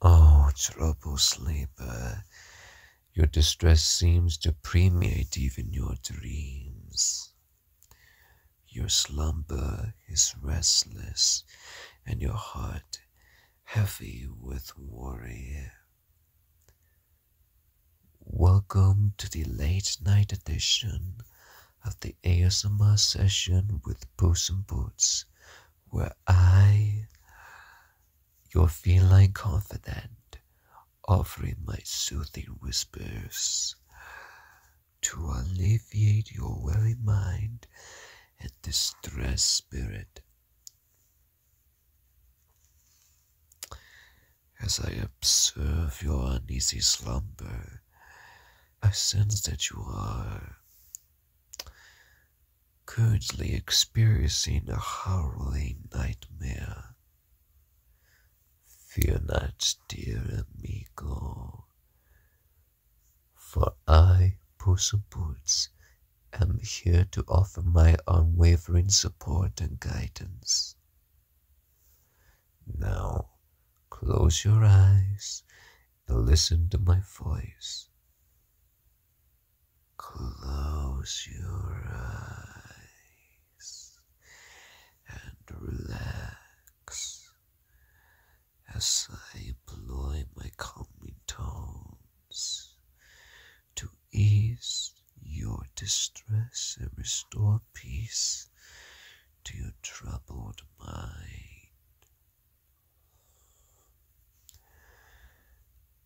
Oh, troubled sleeper, your distress seems to permeate even your dreams. Your slumber is restless, and your heart heavy with worry. Welcome to the late night edition of the ASMR session with Puss in Boots were I, your feline confidant, offering my soothing whispers to alleviate your weary mind and distressed spirit. As I observe your uneasy slumber, I sense that you are currently experiencing a howling nightmare. Fear not, dear amigo, for I, Puss in Boots, am here to offer my unwavering support and guidance. Now, close your eyes listen to my voice. Close your eyes and relax as I employ my calming tones to ease your distress and restore peace to your troubled mind.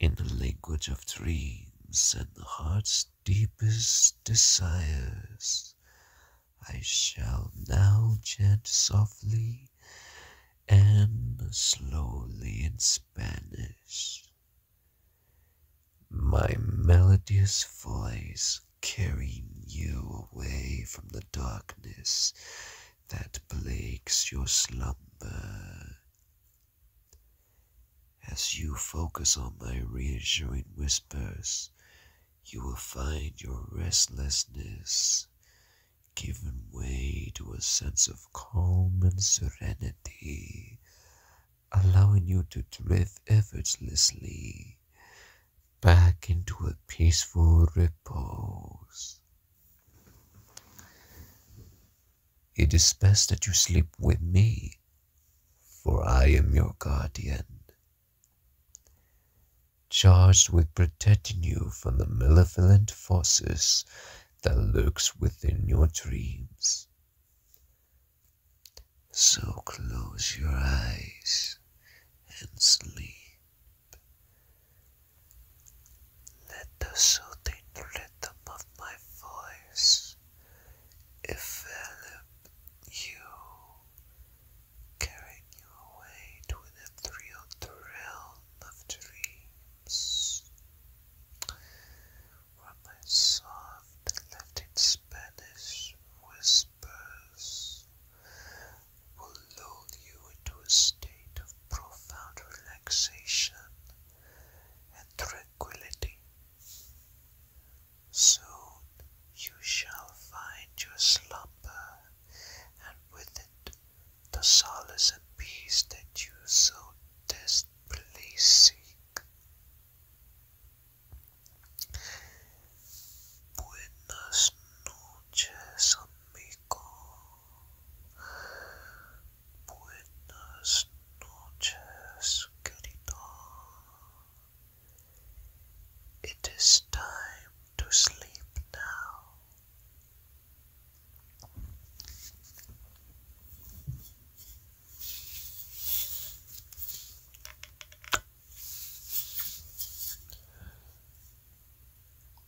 In the language of dreams and the heart's deepest desires, I shall now chant softly and slowly in Spanish. My melodious voice carrying you away from the darkness that plagues your slumber. As you focus on my reassuring whispers, you will find your restlessness giving way to a sense of calm and serenity, allowing you to drift effortlessly back into a peaceful repose. It is best that you sleep with me, for I am your guardian, charged with protecting you from the malevolent forces that lurks within your dreams. So close your eyes and sleep. Let the soothing rhythm of my voice envelop you, carrying you away to the thrilled realm of dreams, where my soft Latin Spanish whispers will lull you into a state of profound relaxation and tranquility. Soon you shall find your slumber, and with it the solace and peace that you so desperately seek. Buenas noches. Buenas noches, querido. It is time to sleep now.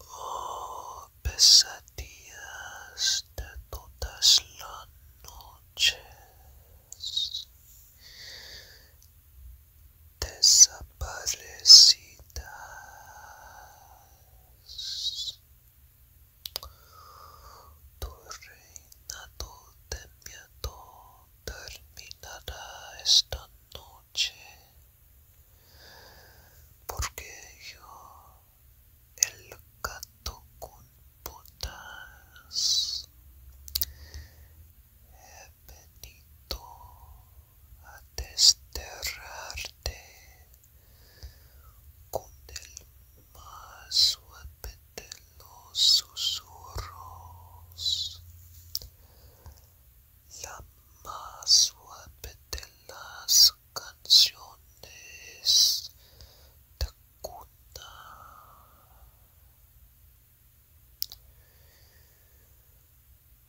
Oh, pesadillas de todas las noches, desaparecidas. Tu reinado de miedo terminará esta noche porque yo el gato con botas he venido a desterrarte con el más suave de susurros la más suave de las canciones de cuna.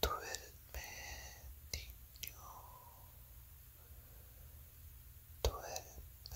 Duerme, niño, duerme.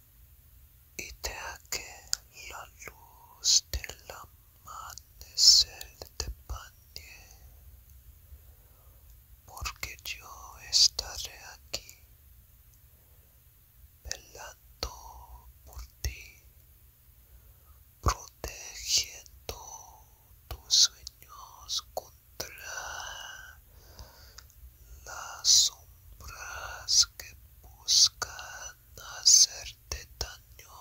y deja que la luz del amanecer te bañe, porque yo estaré aquí velando por ti, protegiendo tus sueños contra las sombras que buscan hacerte daño.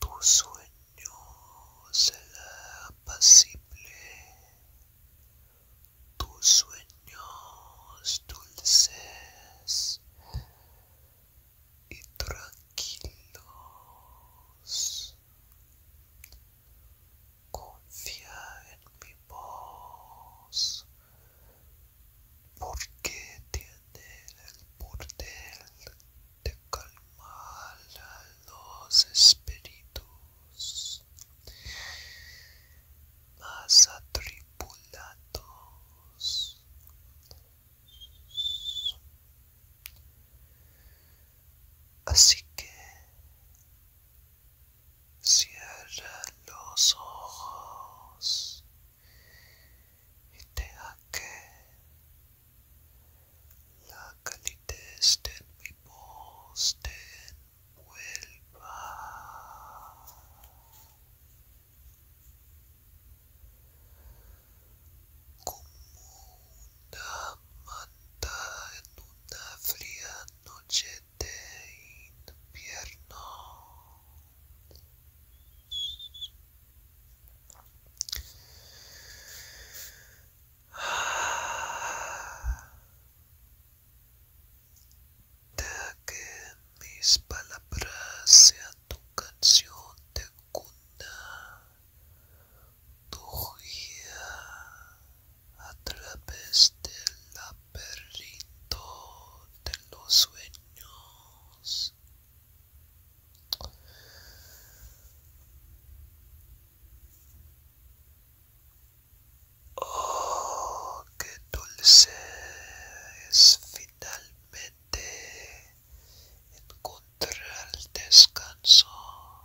Tu sueño será apacible, tus sueños dulces y tranquilos. Confía en mi voz, porque tiene el poder de calmar a los espíritus más atribulados. Así que Cierra los ojos y deja que la calidez de mi poste te envuelva. Como una manta en una fría noche de invierno. Deja que mis palabras sean tu canción de cuna tu guía a través del laberinto de los sueños. Oh, qué dulce es finalmente encontrar el descanso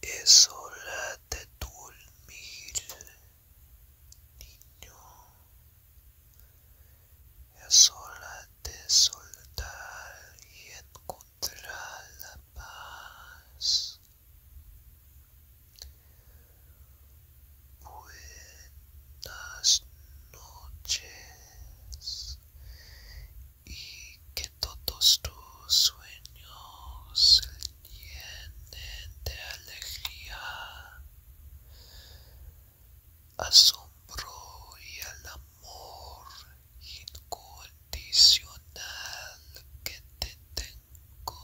Es hora de dormir, niño. Es hora de soltar y encontrar la paz. Buenas noches y que todos tus sueños se llenen de alegría, asombro y el amor incondicional que te tengo.